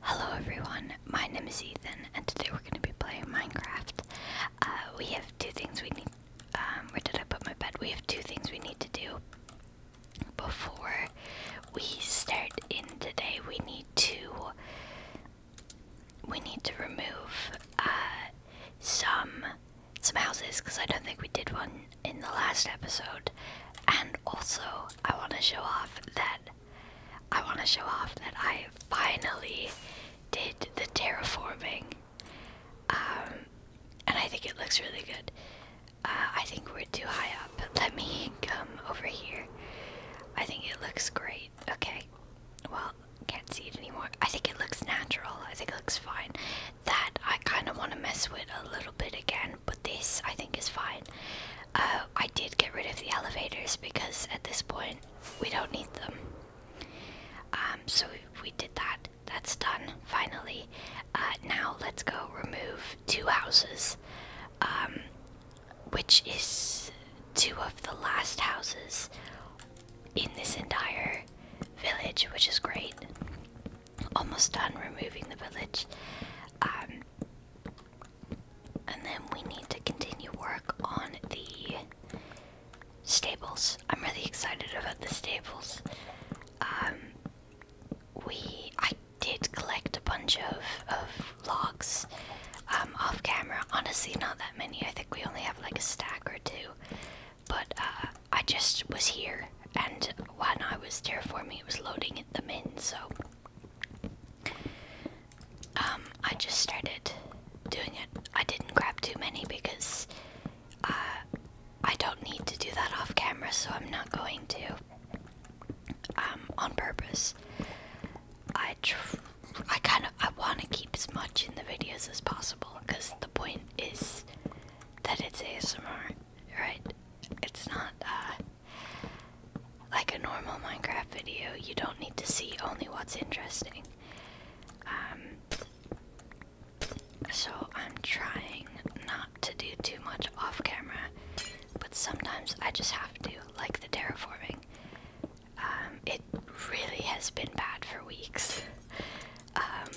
Hello everyone, my name is Ethan and today we're going to be playing Minecraft. Uh, we have two things we need, um, where did I put my bed? We have two things we need to do before we start in today. We need to, we need to remove, uh, some, some houses because I don't think we did one in the last episode. And also, I want to show off that I want to show off that I finally did the terraforming. Um, and I think it looks really good. Uh, I think we're too high up. Let me come over here. I think it looks great. Okay. Well, can't see it anymore. I think it looks natural. I think it looks fine. That I kind of want to mess with a little bit again, but this I think is fine. Uh, I did get rid of the elevators because at this point we don't need them. Um, so we did that. That's done finally. Uh, now let's go remove two houses, um, which is two of the last houses in this entire village, which is great. Almost done removing the village. Um, and then we need to continue work on the stables. I'm really excited about the stables. Um, we I did collect a bunch of of logs um, off camera. Honestly, not that many. I think we only have like a stack or two. But uh, I just was here, and when I was there for me, it was loading them in. So um, I just started doing it. I didn't grab too many because uh, I don't need to do that off camera, so I'm not going to. Um, on purpose. I I kind of I want to keep as much in the videos as possible because the point is that it's ASMR, right? It's not uh, like a normal Minecraft video, you don't need to see only what's interesting. Um, so I'm trying not to do too much off camera, but sometimes I just have to, like the terraforming. Um, it really has been bad for weeks. Um,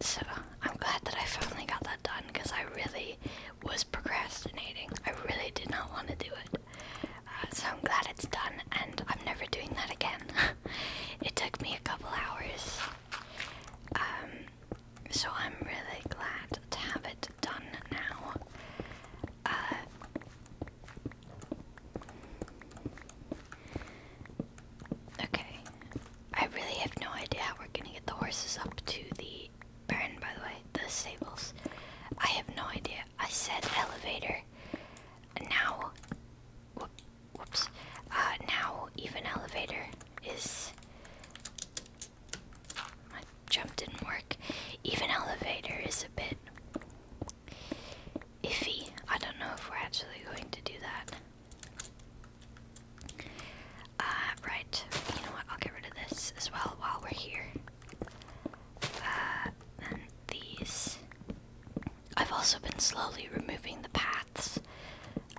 so I'm glad that I finally got that done because I really was procrastinating. I really did not want to do it. Uh, so I'm glad it's done, and I'm never doing that again. it took me a couple hours. Um, so I'm really glad to have it done now. Uh, okay. I really have no idea how we're gonna get the horses up to the Burn, by the way, the stables. I have no idea. I said elevator. Now, whoop, whoops. Uh, now even elevator is. My jump didn't work. Even elevator is a bit iffy. I don't know if we're actually going to do that. Uh, right. You know what? I'll get rid of this as well while we're here and these. I've also been slowly removing the paths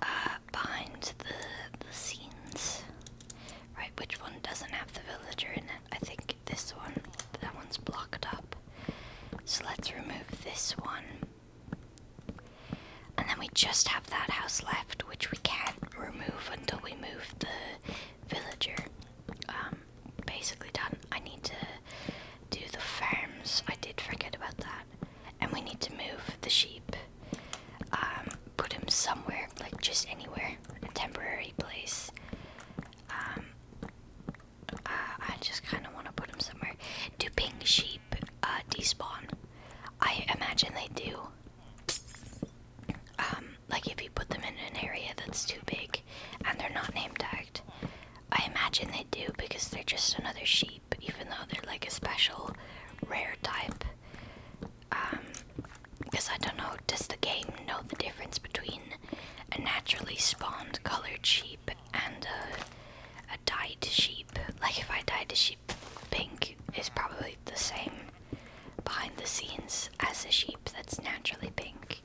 uh, behind the, the scenes. Right, which one doesn't have the villager in it? I think this one. That one's blocked up. So let's remove this one. And then we just have that house left, which we can't remove until we move the villager. Um, basically done. I need to do the farms. I did forget about that. And we need to move the sheep. Um, put him somewhere, like just anywhere, a temporary place. Um, uh, I just kind of want to put him somewhere. Do pink sheep uh, despawn? I imagine they do. Um, like if you put them in an area that's too big and they're not name tagged. I imagine they do because they're just another sheep, even though they're like a special rare type. because um, I don't know, does the game know the difference between a naturally spawned colored sheep and a, a dyed sheep? Like if I dyed the sheep pink, it's probably the same behind the scenes as a sheep that's naturally pink.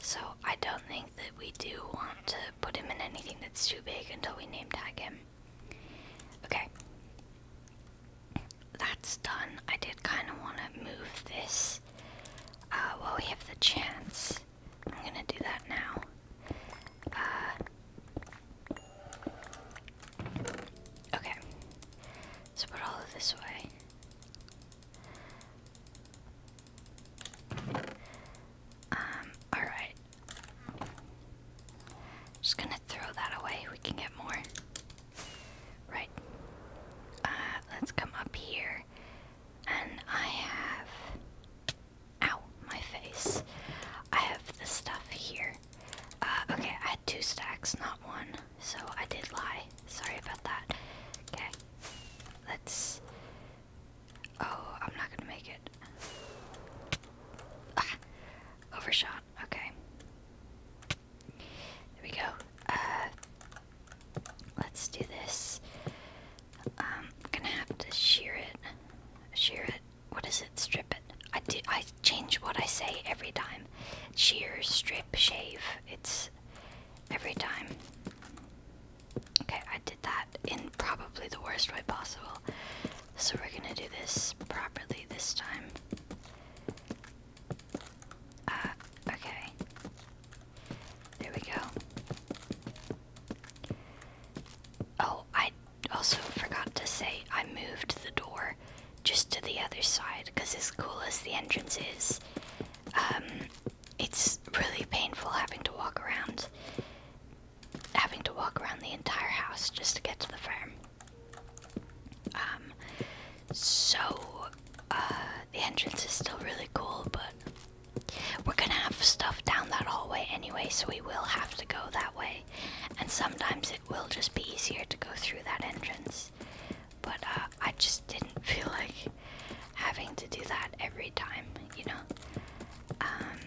So I don't think that we do want to put him in anything that's too big until we name tag him. Okay. That's done. I did kind of want to move this uh, while we have the chance. I'm going to do that now. Uh, Okay. Let's put all of this away. Um, alright. Just gonna throw that away. We can get more. Right. Uh, let's come up here. And I have. Ow, my face. I have the stuff here. Uh, okay, I had two stacks, not one. So I did lie. Sorry about that. Okay, let's. Oh, I'm not gonna make it. Ah, overshot. Okay. There we go. Uh, let's do this. Um, I'm gonna have to shear it. Shear it. What is it? Strip it. I do I change what I say every time. Shear, strip, shave. It's every time. Okay, I did that in probably the worst way possible. So we're gonna do this properly this time. Uh, okay. There we go. Oh, I also forgot to say I moved the door just to the other side because as cool as the entrance is, um, it's really painful having to walk around, having to walk around the entire house just to get to the farm. Um, so uh, the entrance is still really cool, but we're gonna have stuff down that hallway anyway, so we will have to go that way. And sometimes it will just be easier to go through that entrance but uh, I just didn't feel like having to do that every time, you know? Um,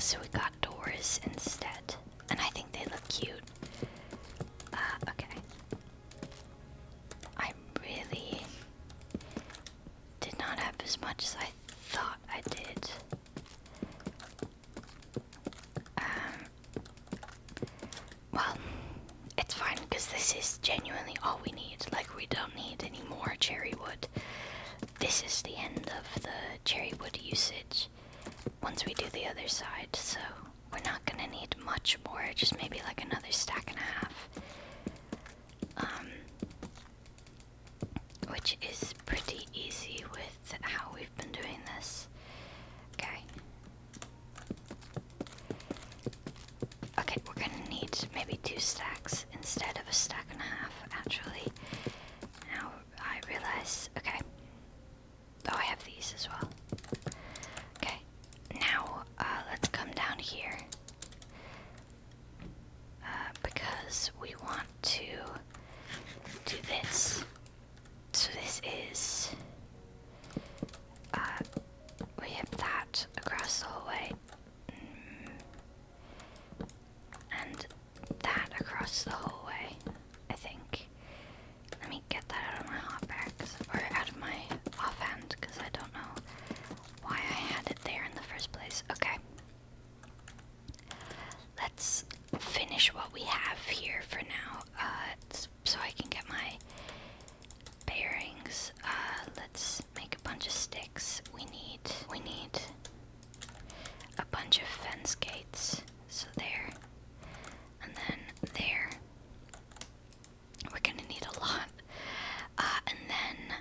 so we got doors instead, and I think they look cute. Uh, okay. I really did not have as much as I thought I did. Um, well, it's fine because this is genuinely all we need. Like, we don't need any more cherry wood. This is the end of the cherry wood usage once we do the other side, so we're not gonna need much more, just maybe like another stack and a half. Um, which is pretty easy with with how we've been doing this. Okay. Okay, we're gonna need maybe two stacks instead of a stack and a half, actually. Now I realize. Okay. Oh, I have these as well. Okay. Now, uh, let's come down here. Uh, because we want to do this. So this is. Uh, we have that across the hallway. Mm. And that across the hallway, I think. Let me get that out of my hotbag, or out of my offhand, because I don't know why I had it there in the first place. Okay. Let's finish what we have here for now. Uh, so I can get my bearings. Uh, let's make a bunch of sticks. We need we need a bunch of fence gates. So there, and then there. We're gonna need a lot. Uh, and then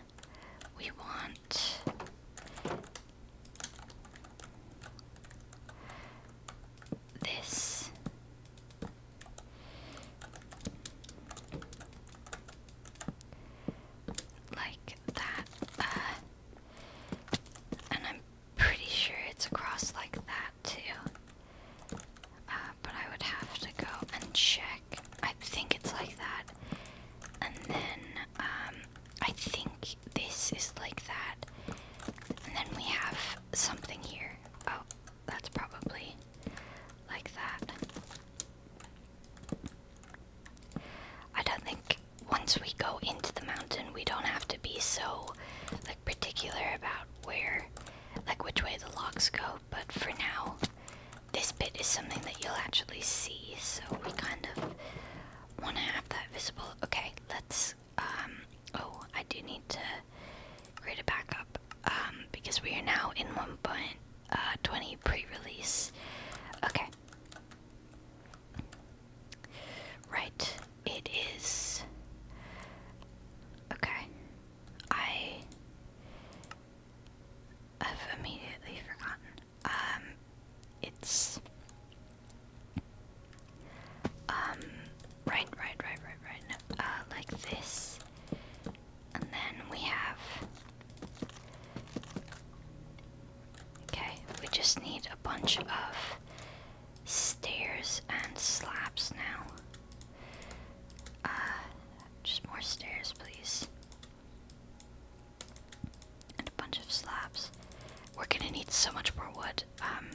we want this. Like that. Uh, and I'm pretty sure it's across like that too. Uh, but I would have to go and check. I think it's like that. And then um, I think this is like that. And then we have something here. Oh, that's probably like that. I don't think once we go into the mountain, we don't have to be so like particular about where, like which way the locks go. But for now, this bit is something that you'll actually see, so we kind of want to have that visible. Okay, let's um, oh I do need to create a backup um, because we are now in one uh, pre-release okay right it is okay I have immediately forgotten um it's um, right, right, right, right, right. uh, like this. And then we have. Okay, we just need a bunch of stairs and slabs now. Uh, just more stairs, please. And a bunch of slabs. We're gonna need so much more wood. Um,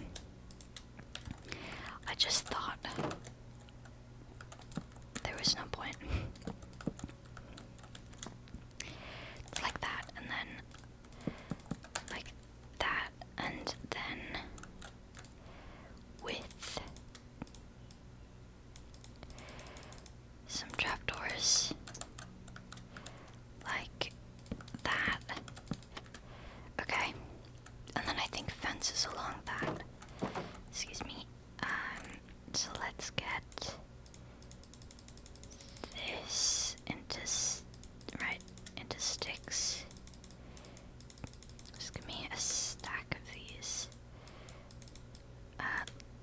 I just thought there was no point. like that, and then like that, and then with some trapdoors like that Okay. And then I think fences along that. Excuse me. Um, so let's get this into right into sticks. Just give me a stack of these. Uh,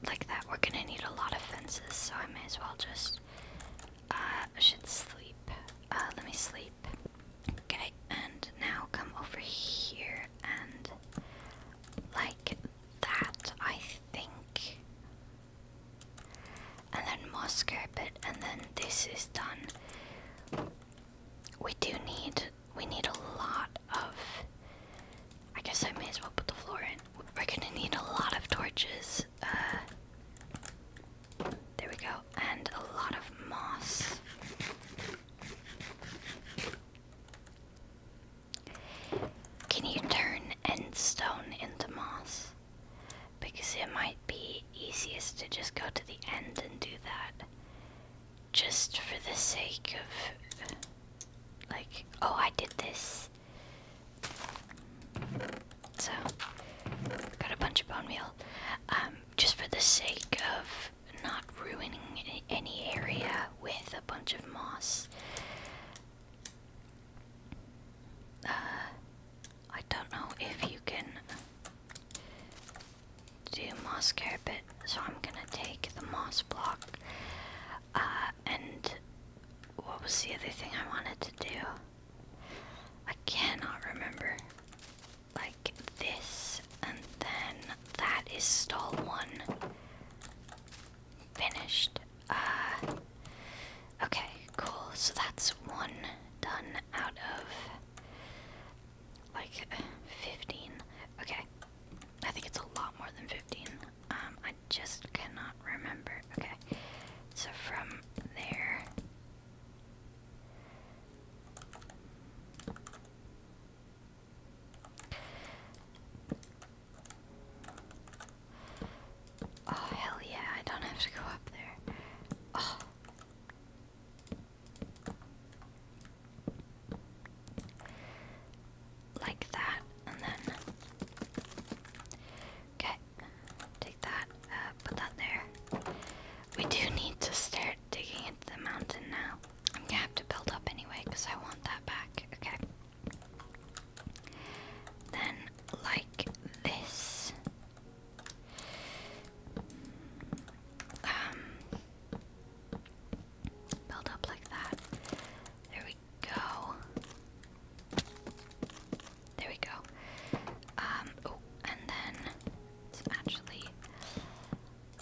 like that. We're gonna need a lot of fences, so I may as well just uh, I should sleep. Uh, let me sleep. Okay, and now come over here and like that, I think. And then more carpet, and then this is done. We do need, we need a lot of, I guess I may as well put the floor in. We're gonna need a lot of torches, uh, there we go. And a lot of moss. Can you turn end stone into moss? Because it might be easiest to just go to the end and do that. Just for the sake of. Like, oh, I did this. So, got a bunch of bone meal. Um, just for the sake of not ruining any area with a bunch of moss. Uh, I don't know if you can do moss carpet, so I'm gonna take the moss block. Uh, and what was the other thing I wanted to do? I cannot remember. Like this, and then that is stall one. Finished. Uh, okay, cool. So that's one done out of like 15. Okay, I think it's a lot more than 15. Um, I just cannot remember. Okay, so from there Oh, hell yeah, I don't have to go up there. Oh. Like that, and then. Okay. Take that, put that there. We do need to start digging into the mountain now. I'm gonna have to build up anyway because I want that back. Okay. Then, like this. Um, build up like that. There we go. There we go. Um, and then actually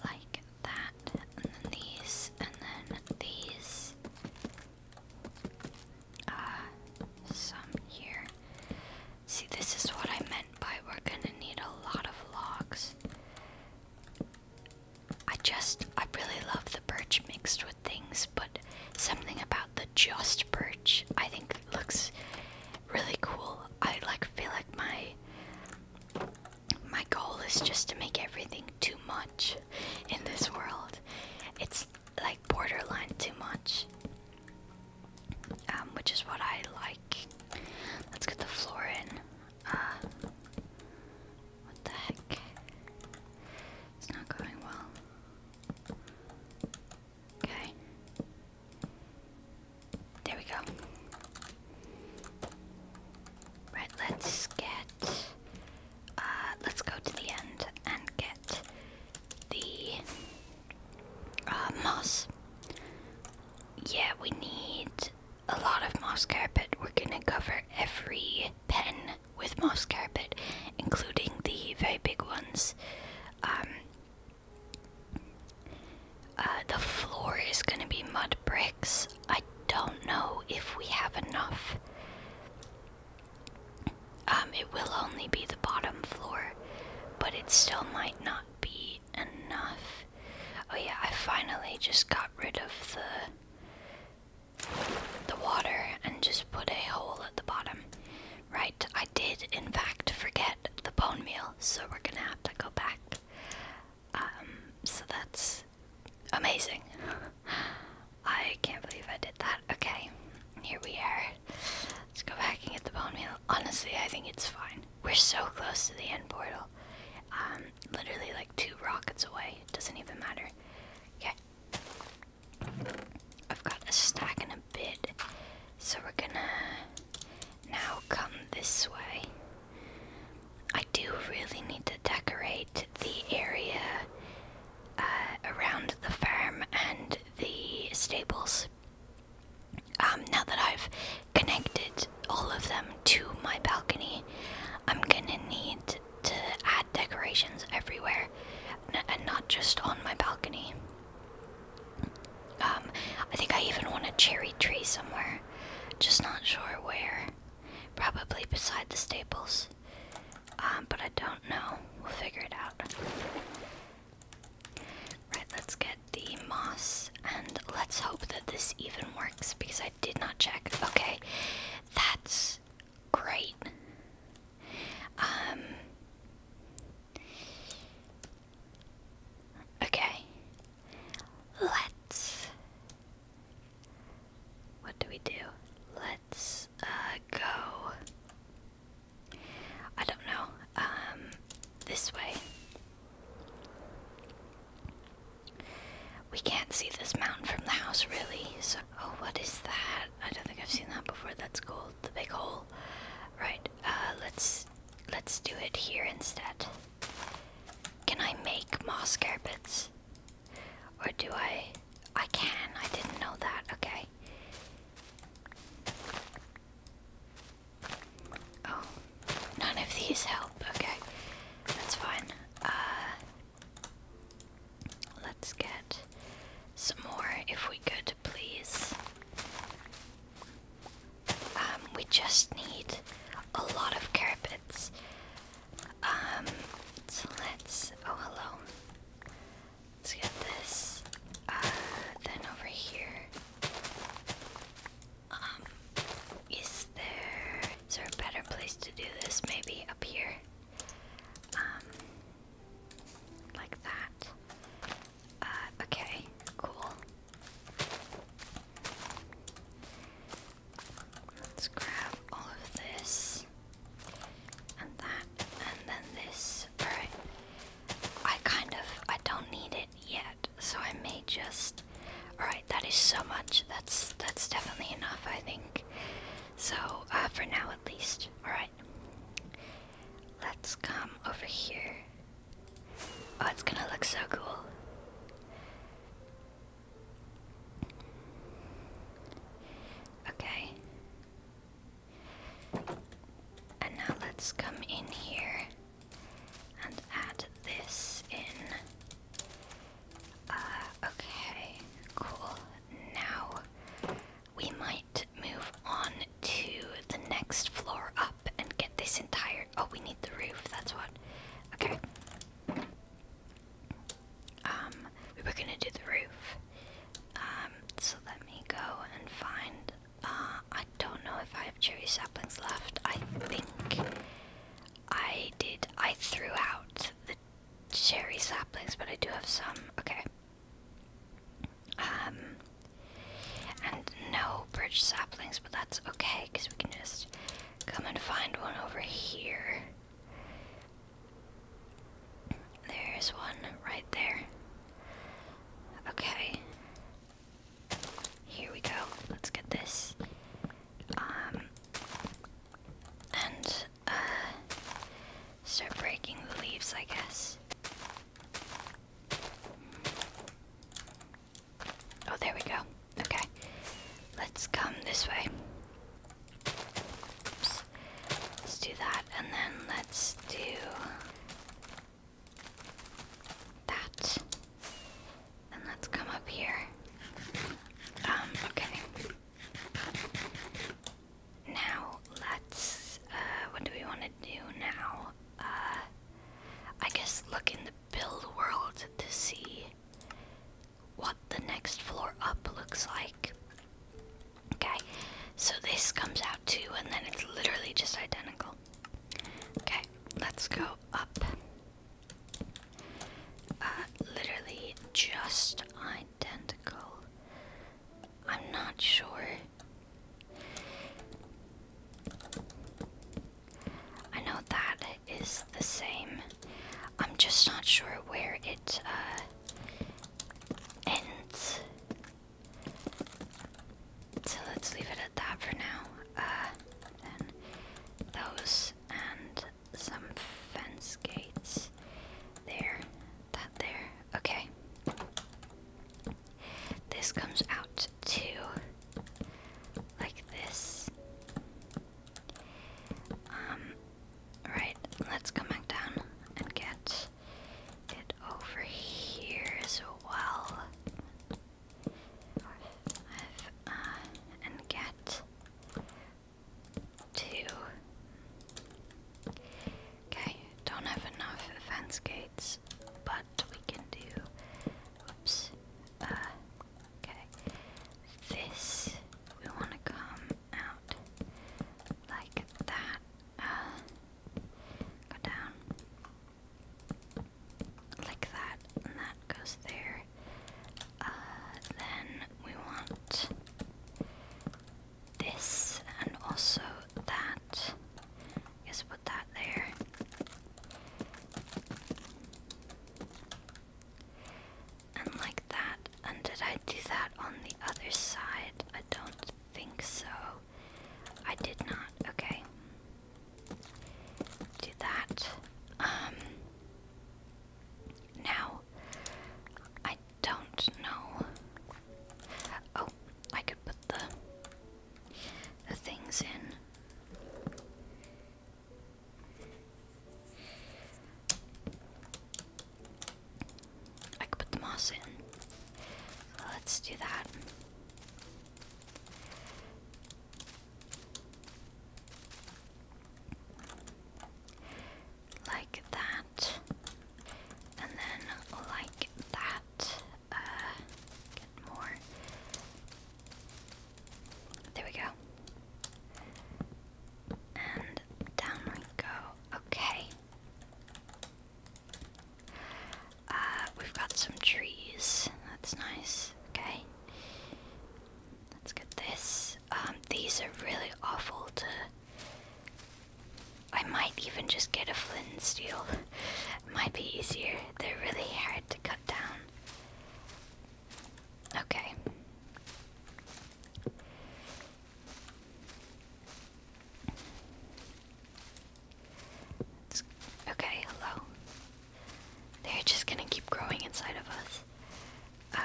like that, and then these, and then these. Uh, some here. See, this is what I meant by we're gonna need a lot of logs. I just, I really love the birch mixed with things, but something about the just birch I think looks really cool. I like feel like my my goal is just to make everything too much in this world. It's like borderline too much. Um, which is what I like. Let's get the floor in. Uh, what the heck? It's not going well. Okay. There we go. Right, let's get uh, let's go to the end and get the uh, moss. Yeah, we need a lot of moss carpet. We're gonna cover every pen with moss carpet, including the very big ones. Um, uh, the floor is gonna be mud bricks. I don't know if we have enough. Um, it will only be the bottom floor, but it still might not be enough. Oh yeah, I finally just got rid of the the water and just put a hole at the bottom. Right, I did in fact forget the bone meal, so we're gonna have to go back. Um, so that's amazing. I can't believe I did that. Okay, here we are. Let's go back and get the bone meal. Honestly, I think it's fine. We're so close to the end portal. Um, literally like two rockets away. It doesn't even matter. Okay. I've got a stack in a bit, so we're gonna now come this way. I do really need to decorate the area uh, around the farm and the stables. Um, now that I've connected all of them to my balcony, I'm gonna need to add decorations everywhere, and not just on my balcony. Um, I think I even want a cherry tree somewhere. Just not sure where. Probably beside the staples. Um, but I don't know. We'll figure it out. Right, let's get the moss and let's hope that this even works because I did not check. Okay, that's great. Um, Okay. Let's. What do we do? Let's uh, go. I don't know. Um, this way. We can't see this mountain from the house, really. So, oh, what is that? I don't think I've seen that before. That's cool the big hole. Right, uh, let's let's do it here instead. Can I make moss carpets? Or do I I can, I didn't know that, okay. Oh, none of these help. Okay, that's fine. Uh, let's get some more if we could, please. Um, we just need a lot of carpets. Um, let's. Oh, hello. Let's get this. Uh, then over here. Um, there. Is there a better place to do this? Maybe up here? Like that. Uh, okay, cool. Let's grab all of this and that and then this. Alright. I kind of I don't need it yet, so I may just Alright, that is so much. That's that's definitely enough, I think. So, uh, for now at least. Alright. Let's come over here. Oh, it's gonna look so cool. Okay. And now let's come in here and add this in. Uh, okay, cool. Now we might move on to the next floor up and get this entire. Oh, we need the roof, that's what. Okay. Um, we were gonna do the roof. Um, so let me go and find. Uh, I don't know if I have cherry saplings left. I think I did. I threw out the cherry saplings, but I do have some. Okay. Um, and no bridge saplings, but that's okay because we can just come and find one over here. There's one right there. Okay. Here we go. Let's get this. Um, and uh, start breaking the leaves, I guess. Oh, there we go. Okay. Let's come this way. Let's do that, and then let's do that. And let's come up here. Um, okay. Now, let's, uh, what do we want to do now? uh, I guess look in the build world to see what the next floor up looks like. Okay, so this comes out too, and then it's literally just identical. Okay, let's go up. Uh, literally just identical. I'm not sure. I know that is the same. I'm just not sure where it uh, ends. So let's leave it at that for now. Uh, then those and some fence gates there. That there. Okay. This comes out to like this. Um, right, let's come back down and get it over here as well. Uh, and get to Okay, don't have enough fence gates, but we can do. Oops. Uh, okay. This we want to come out like that. Uh, go down like that, and that goes there. Uh, then we want this and also that just put that there. And like that. And did I do that on the other side? I don't think so. I did not. Okay. Do that. Um. Now, I don't know. Oh, I could put the the things in. I could put the moss in. Let's do that. Like that. And then like that. Uh, get more. There we go. And down we go. Okay. Uh, we've got some trees. That's nice. Okay. Let's get this. Um, these are really awful to I might even just get a flint and steel. might be easier. They're really hard to cut down. Okay. okay, hello. They're just gonna keep growing inside of us.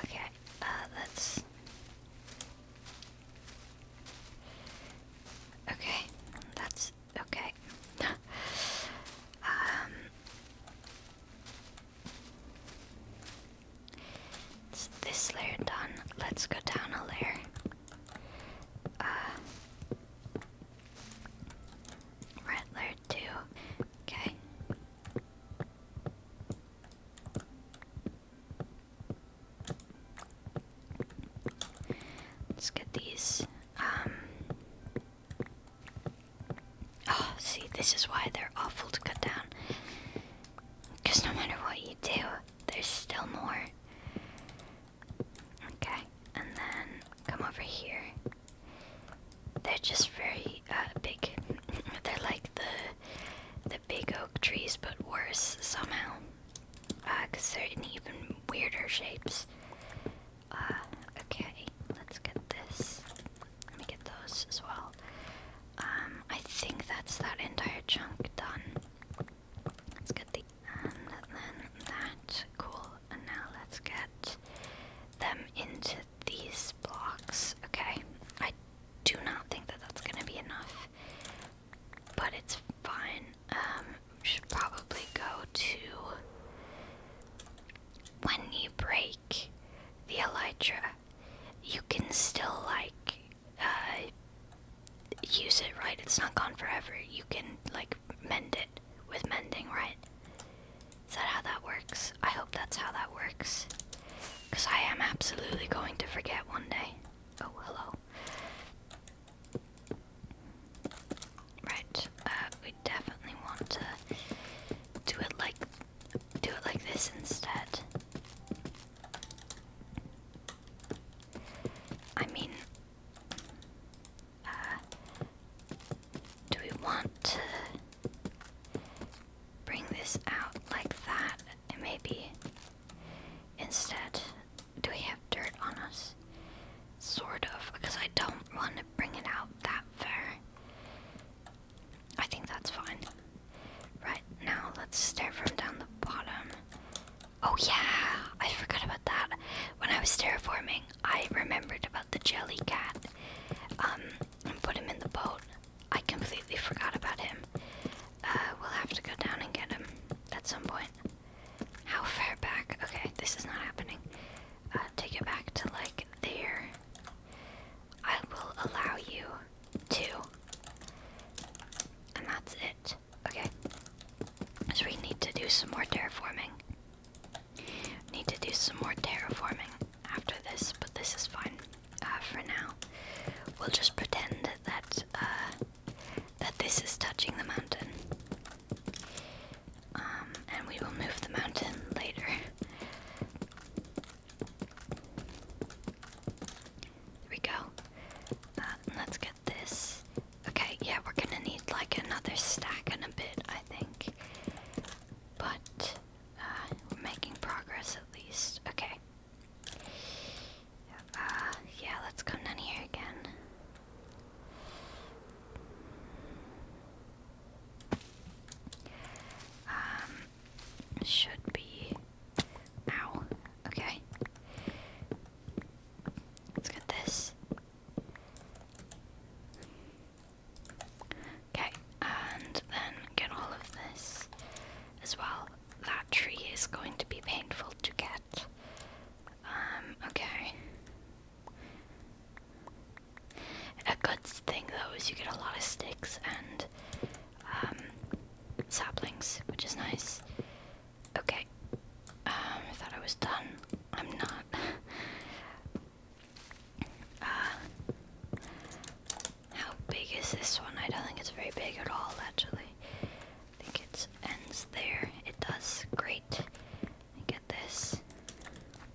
Okay, uh, let's Okay, that's okay. um, this layer done. Let's go down a layer. Uh, layer two. Okay. Let's get these. Um, oh, see, this is why they're awful to cut down. Because no matter what you do, there's still more. Okay, and then come over here. They're just very uh, big. they're like the the big oak trees, but worse somehow because uh, they're in even weirder shapes. Uh, okay, let's get this. Let me get those as well. Um, I think that's that entire chunk done. Let's get the and then that. Cool. And now let's get them into these blocks. Okay. I do not think that that's gonna be enough but it's fine. Um, should probably go to when you break the elytra, you can still like uh, use it, right? It's not gone forever. You can like mend it with mending, right? Is that how that works? I hope that's how that works. Because I am absolutely going to forget one day. Oh, hello. Right, uh, we definitely want to do it like do it like this instead. I mean, uh, do we want to bring this out like that, and maybe instead do we have dirt on us? Sort of, because I don't want to bring it out that far. I think that's fine. Right, now let's stare from down the bottom. Oh yeah, I forgot about that. When I was forming, I remembered about the jelly cat. Um, and put him in the boat. I completely forgot about him. Uh, we'll have to go down and get him at some point. How far back? Okay, this is not happening. Uh, take it back to like there. I will allow you to. And that's it. Okay. So we need to do some more terraforming. Need to do some more terraforming after this, but this is fine uh, for now. We'll just pretend that uh, that this is touching the mountain. Um, and we will move the mountain later. There we go. Uh, let's get this. Okay, yeah, we're gonna need like another stack in a bit, I think. But uh, we're making progress at least. Okay. Uh, yeah, let's come down here again. Um, should be. Ow. Okay. Let's get this. Okay, and then get all of this as well. That tree is going to be painful to get. Um, okay. A good thing though is you get a lot of sticks and um, saplings, which is nice. Okay. Um, I thought I was done. I'm not. uh, how big is this one? I don't think it's very big at all, actually. I think it ends there. It does. Great. I get this.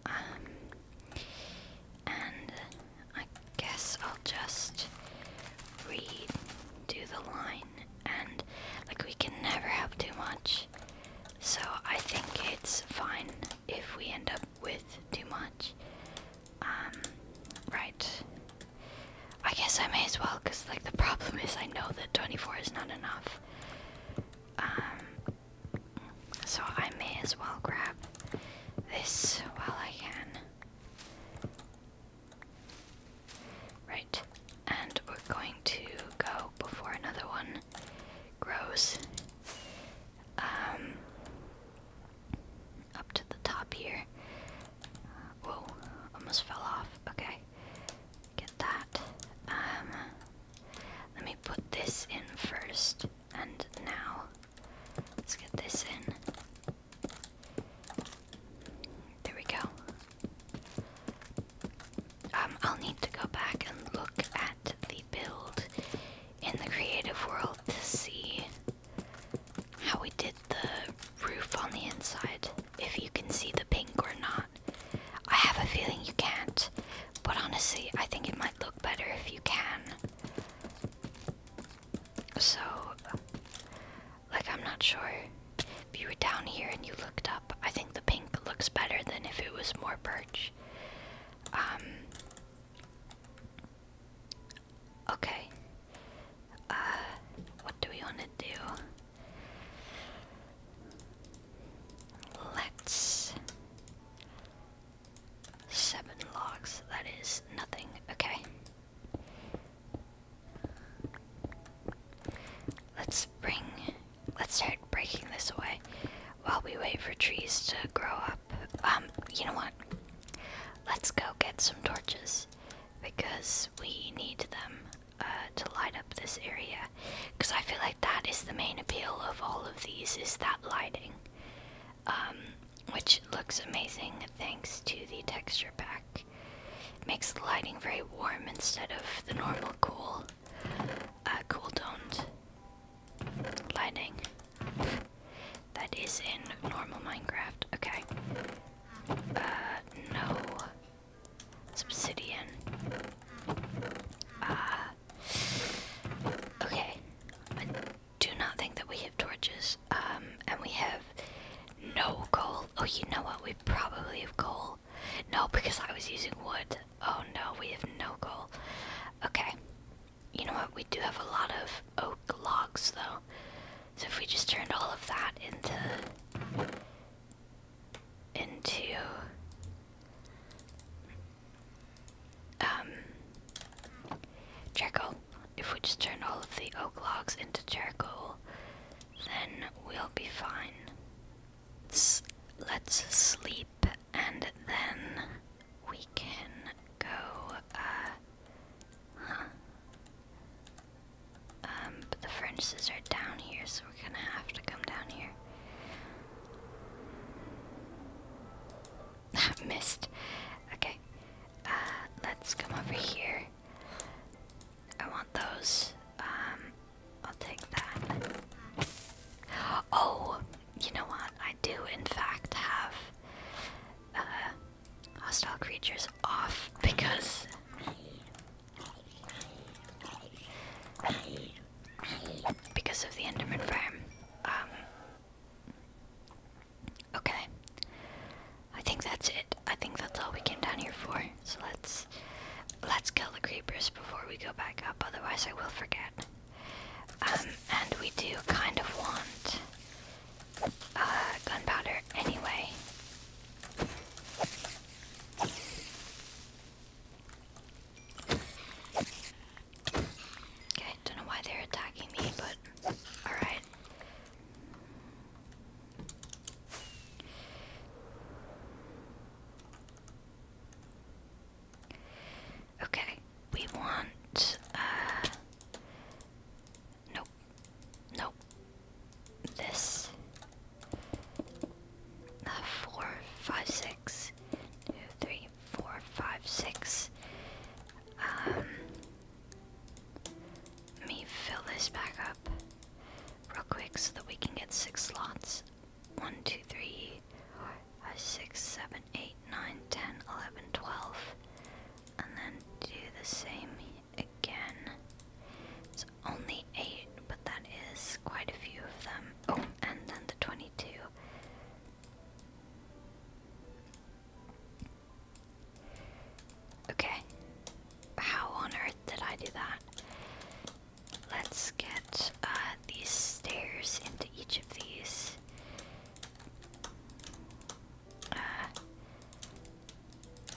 Um, and I guess I'll just redo the line. And, like, we can never have too much. So I think it's fine if we end up with too much. Um, right. I guess I may as well, because, like, the problem is I know that 24 is not enough. Um, so I may as well grab this while I can. Right, and we're going to go before another one grows. Um, up to the top here. Uh, whoa, almost fell off. Okay. Get that. Um, let me put this in first, and now let's get this in. There we go. Um, I'll need to go back and look at the build in the creative world to see how we did the roof on the inside, if you can see the pink or not. I have a feeling you can't, but honestly, I think it might look better if you can. So, like, I'm not sure. If you were down here and you looked up, I think the pink looks better than if it was more birch. Um. Okay. Uh, what do we want to do? Let's. Seven logs, that is nothing. Okay. Let's bring. Let's start breaking this away while we wait for trees to grow up. Um, you know what? Let's go get some torches because we need them. Uh, to light up this area because I feel like that is the main appeal of all of these is that lighting um, which looks amazing thanks to the texture pack makes the lighting very warm instead of the normal cool uh, cool toned lighting that is in normal Minecraft okay uh, no obsidian. Ah. okay. I do not think that we have torches. Um, and we have no coal. Oh, you know what? We probably have coal. No, because I was using wood. Oh no, we have no coal. Okay. You know what? We do have a lot of oak logs, though. So if we just turned all of that into into um, charcoal. If we just turn all of the oak logs into charcoal, then we'll be fine. let's sleep and then we can go, uh, but um, the furnaces are down here, so we're gonna have to come down here. Missed. Okay. Uh, let's come over here. I want those. Um, I'll take that. Oh, you know what? I do, in fact, have uh, hostile creatures off because because of the Enderman farm. Um, okay. I think that's it. I think that's all we came down here for. So let's let's kill the creepers before we go back up. Otherwise, I will forget. Um, and we do kind of want uh, gunpowder anyway. Okay, don't know why they're attacking me, but alright. Okay, we want, uh, no, Nope. Nope. This. Uh, four, five, six. Two, three, four, five, six. Um. Let me fill this back up real quick so that we can get six slots. One, two, three, four, five, six, seven, eight, nine, ten, eleven, twelve. And then do the same again. It's only eight, but that is quite a few of them. Oh, and then the 22. Okay. How on earth did I do that? Let's get uh, these stairs into each of these. Uh,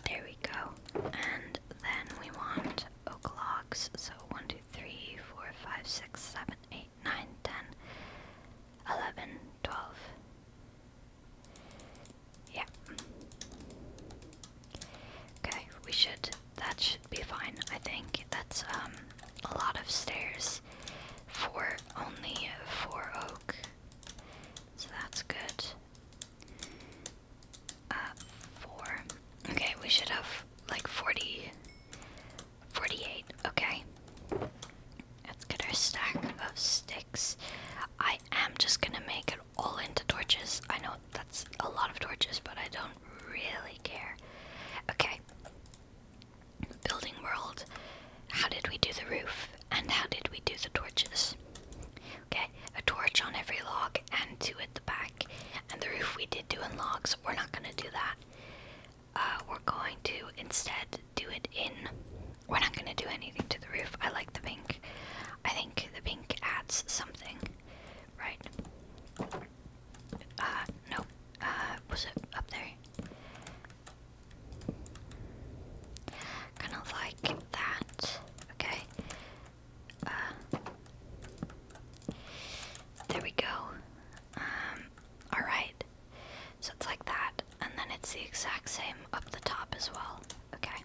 there we go. And then we want oak logs. So 1, 2, 3, 4, 5, 6, 7, 8, 9, 10, 11, 12. Yeah. Okay, we should. That should be fine, I think. That's um, a lot of stairs for only 4 oak. So that's good. Uh, four. Okay, we should have like 40, 48. Okay. Let's get our stack of sticks. I am just gonna make it all into torches. I know that's a lot of torches, but I don't really care. Okay. Building world. How did we do the roof? And how did we do the torches? Okay, a torch on every log and two at the back. And the roof we did do in logs. We're not gonna do that. Uh, we're going to instead do it in. We're not gonna do anything to the roof. I like the pink. I think the pink adds something, right? Uh, uh was it up there? Kind of like that. Okay. Uh, there we go. Um, Alright. So it's like that, and then it's the exact same up the top as well. Okay.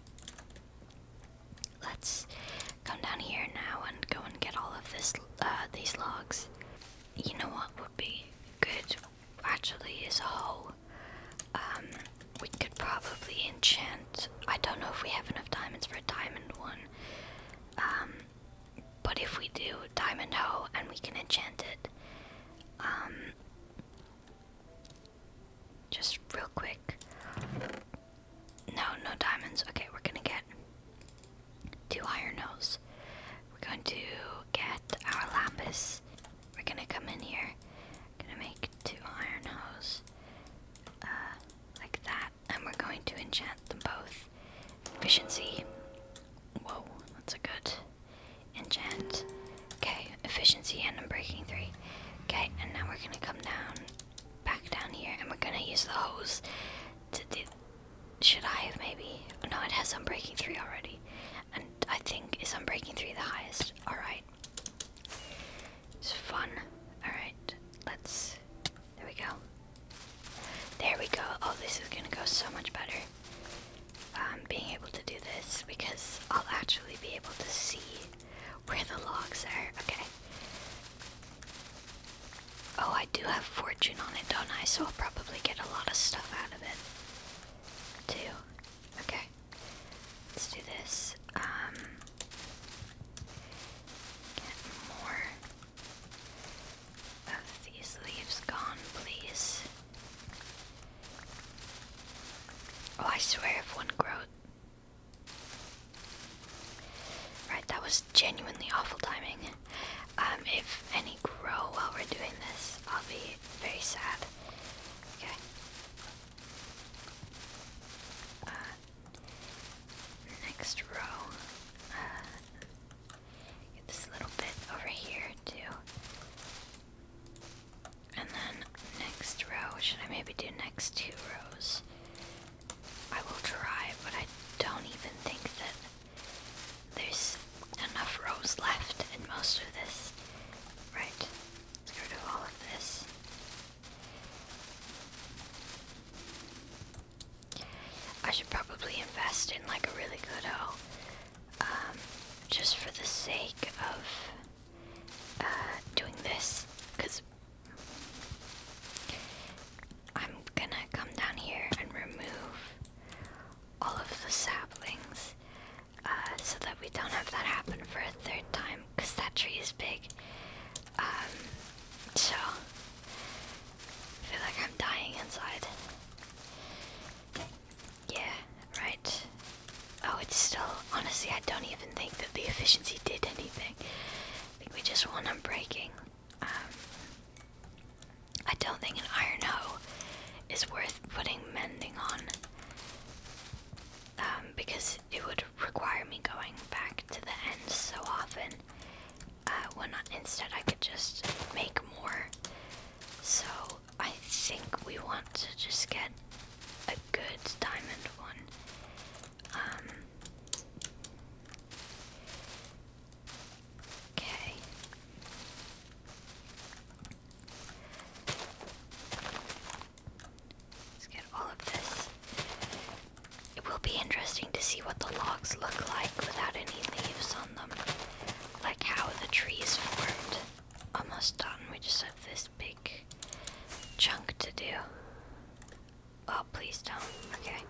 Let's come down here now and go and get all of this, uh, these logs. You know what would be good, actually, is a hoe. Um, we could probably enchant. I don't know if we have enough diamonds for a diamond one. Um, but if we do, diamond hoe, and we can enchant it. Um, just real quick. No, no diamonds. Okay, we're gonna get two iron hoes. We're going to get our lapis. We're gonna come in here. Gonna make two iron hoes. Uh, like that, and we're going to enchant them both. Efficiency. Whoa, that's a good enchant. Okay, efficiency and unbreaking three. Okay, and now we're gonna come down, back down here, and we're gonna use the hose Should I have maybe? Oh, no, it has breaking three already, and I think is breaking three the highest. All right. It's fun. Alright, let's. There we go. There we go. Oh, this is gonna go so much better. Um, being able to do this because I'll actually be able to see where the logs are. Okay. Oh, I do have fortune on it, don't I? So I'll probably get a lot of stuff out of it. Too. Okay. Let's do this. Um, get more of these leaves gone, please. Oh, I swear if one growth Right, that was genuinely awful timing. Um, if any grow while we're doing this, I'll be very sad. Okay. Uh, next row, uh, get this little bit over here too. And then next row, should I maybe do next two rows? I will try, but I don't even think that there's enough rows left in most of this. Right. Let's get rid all of this. I should probably invest in like a really good O, um, just for the sake of uh, doing this, because I'm gonna come down here and remove all of the saplings uh, so that we don't have that happen for a third time because that tree is big. Um, so I feel like I'm dying inside. Yeah, right. Oh, it's still. Honestly, I don't even think that the efficiency did anything. I think we just won on breaking. Um, I don't think an iron hoe is worth putting mending on um, because it would require me going back to the end so often. Uh, when instead I could just make more. So I think we want to just get a good diamond one. Um, okay. Let's get all of this. It will be interesting to see what the logs look like without any leaves on them. Like how the trees formed. Almost done. We just have this big chunk to do. Oh, please don't. Okay.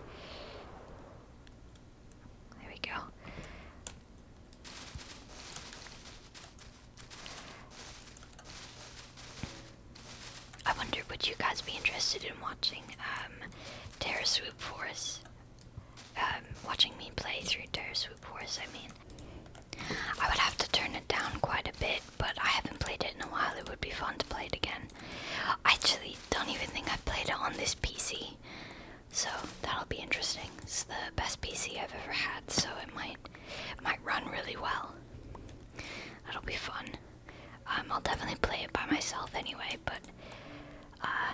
There we go. I wonder would you guys be interested in watching um, Terra Swoop Force? Um, watching me play through Terra Swoop Force, I mean. I would have to turn it down quite a bit, but I haven't played it in a while. It would be fun to play it again. I actually don't even think I've played it on this PC, so that'll be interesting. It's the best PC I've ever had, so it might it might run really well. That'll be fun. Um, I'll definitely play it by myself anyway, but uh,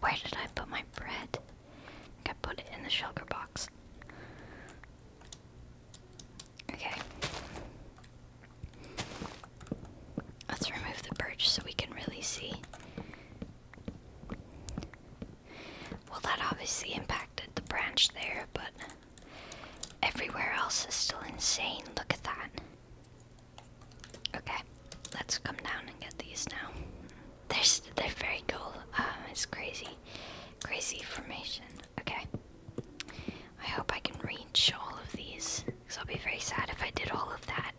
where did I put my bread? I think put it in the sugar box. Okay. Let's remove the perch so we can really see. Well, that obviously impacted the branch there, but Everywhere else is still insane. Look at that. Okay, let's come down and get these now. They're, they're very cool. Um, it's crazy. Crazy formation. Okay. I hope I can reach all of these. Because I'll be very sad if I did all of that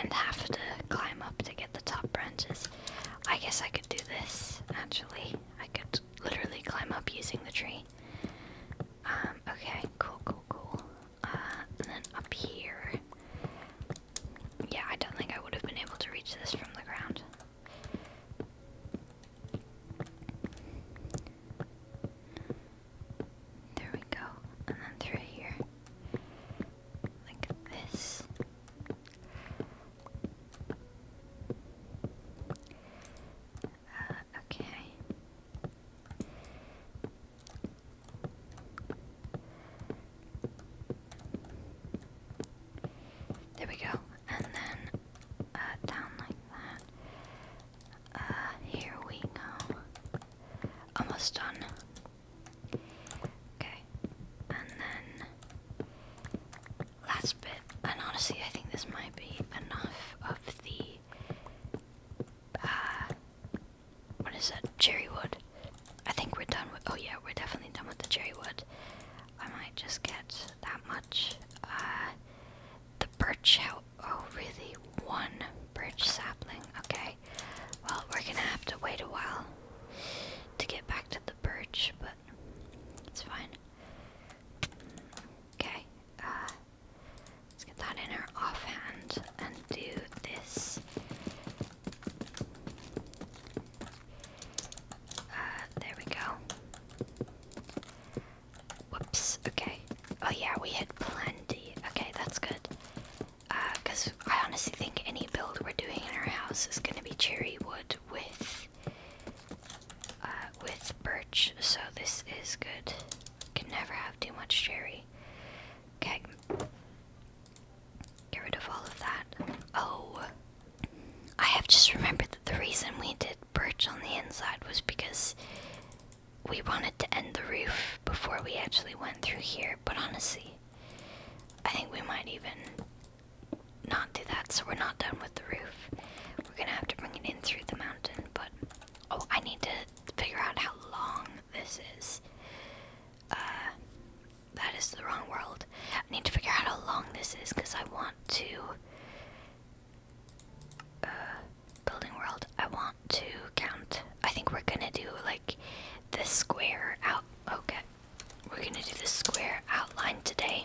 and have to climb up to get the top branches. I guess I could do this, actually. I could literally climb up using the tree. Um, okay, cool, cool, cool. Uh, and then up here. Yeah, I don't think I would have been able to reach this from the ground. There we go. And then through here. Like this. Uh, okay. There we go. And then uh, down like that. Uh, here we go. Almost done. Okay. And then last bit, and honestly, I think this might be enough of the, uh, what is that, cherry wood. I think we're done with, oh yeah, we're definitely done with the cherry wood. I might just get that much. Uh, the birch, how, oh really, one birch sapling, okay. Well, we're gonna have to wait a while to get back to the birch, but it's fine. Okay, uh, let's get that in our offhand and do this. Uh, there we go. Whoops, okay. Oh yeah, we had plenty. Okay, that's good. Uh, cause I honestly think any build we're doing in our house is gonna be cherry wood with uh, with birch, so this is good. Can never have too much sherry. Okay, get rid of all of that. Oh, I have just remembered that the reason we did birch on the inside was because we wanted to end the roof before we actually went through here, but honestly, I think we might even not do that, so we're not done with the roof. We're gonna have to bring it in through the mountain, but oh, I need to figure out how long this is. Uh, that is the wrong world. I need to figure out how long this is because I want to. Uh, building world, I want to count. I think we're gonna do like this square out. Okay, we're gonna do the square outline today.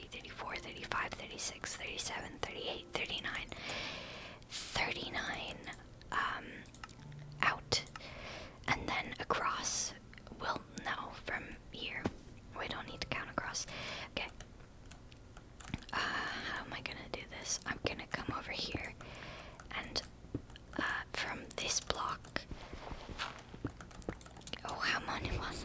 33, 34, 35, 36, 37, 38, 39. 39 um, out. And then across. Well, no, from here. We don't need to count across. Okay. Uh, how am I gonna do this? I'm gonna come over here and uh, from this block. Oh, how many was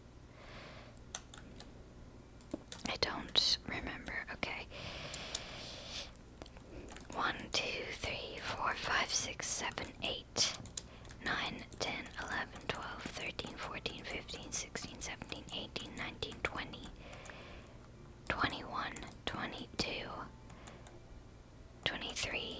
I don't remember. Okay. One, two, three, four, five, six, seven, eight, nine, ten, eleven, twelve, thirteen, fourteen, fifteen, sixteen, seventeen, eighteen, nineteen, twenty, twenty-one, twenty-two, twenty-three,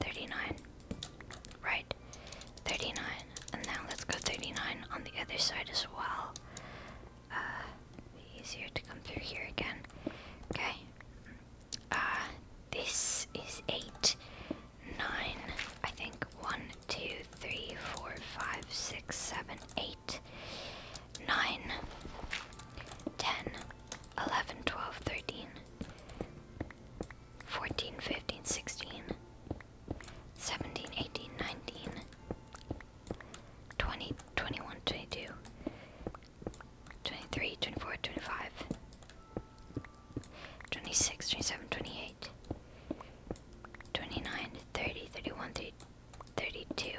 39. Right. 39. And now let's go 39 on the other side as well. Uh, easier to come through here again. Okay. Uh, this is 8, 9, I think 1, 2, 3, 4, 5, 6, 7, 8, 9, 10, 11, 12, 13, 14, 15, 16, 17, 18, 19, 20, 21, 22, 23, 24, 25, 26, 27, 28, 29, 30, 31, 32,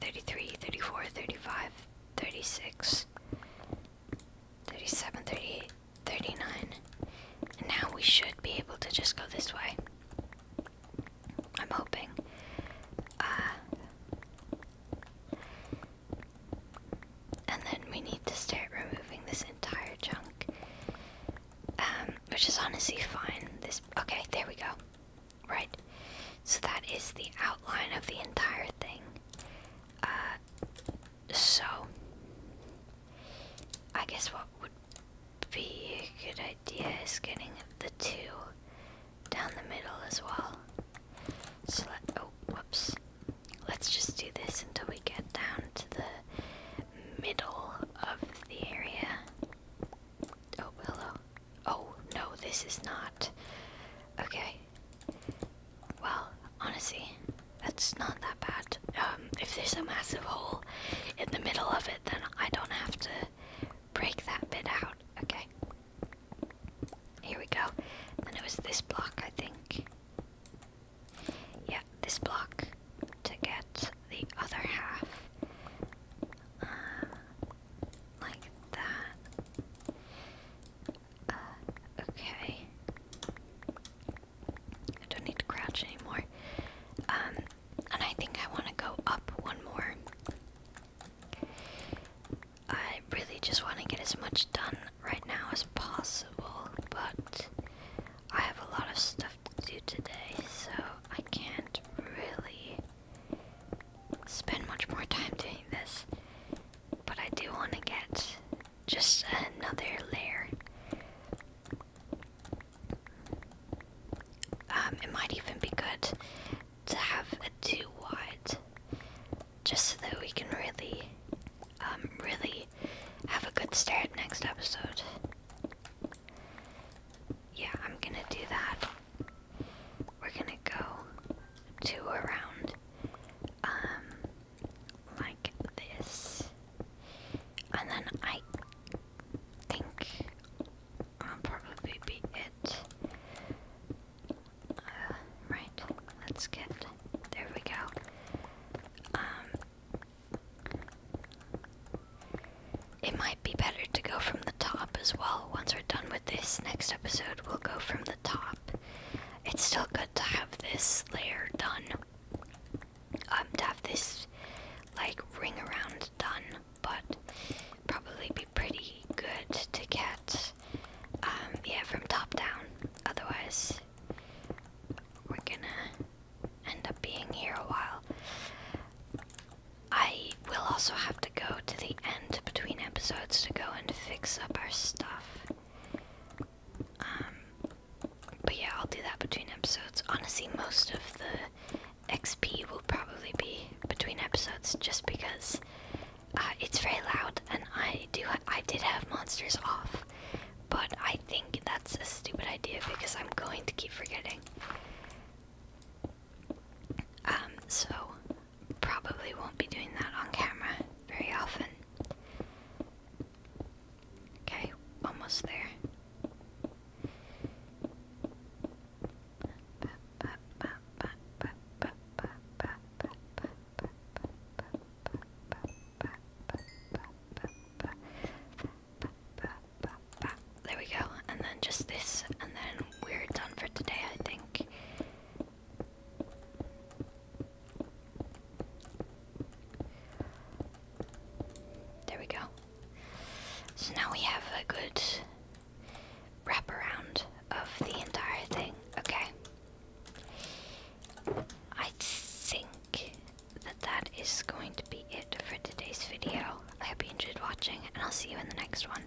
33, 34, 35, 36, 37, 38, 39. And now we should be able to just go this way. I'm hoping. Uh, and then we need to start removing this entire chunk. Um, which is honestly fine. This okay, there we go. Right. So that is the outline of the entire thing. Uh, so I guess what would be a good idea is getting the two down the middle as well. So let oh whoops. Let's just do this until we get down to the middle of the area. Oh, hello. Oh, no, this is not. Okay. Well, honestly, that's not that bad. Um, if there's a massive hole in the middle of it, then I don't have to break that bit out. Okay. Here we go. And it was this block, I think. Yeah, this block to get the other half. Uh, like that. Uh, okay. I don't need to crouch anymore. Um, and I think I want to go up one more. I really just want to get as much done right now as possible, but I have a lot of stuff to do today, so I can't really spend much more time doing this, but I do want to get just another layer. Um, it might even be good to have a two just so that we can really, um, really have a good start next episode. Yeah, I'm gonna do that we're gonna go to around um like this and then I think I'll probably be it. Uh, right, let's get there we go. Um it might be better to go from the top as well once we're done with this next episode, we'll go from the top. It's still good to have this layer done. Um, to have this, like, ring around done, but probably be pretty good to get, um, yeah, from top down. Otherwise, we're gonna end up being here a while. I will also have to go to the end between episodes to go and fix up our stuff. Um, but yeah, I'll do that between episodes. Honestly, most of the XP will probably be between episodes, just because uh, it's very loud, and I do I did have monsters off, but I think that's a stupid idea because I'm going to keep forgetting. Um, so probably won't be doing that on camera very often. Okay, almost there. There we go, and then just this, and then we're done for today, I think. There we go. So now we have a good wraparound of the entire thing. Okay. I think that that is going to be it for today's video. I hope you enjoyed watching, and I'll see you in the next one.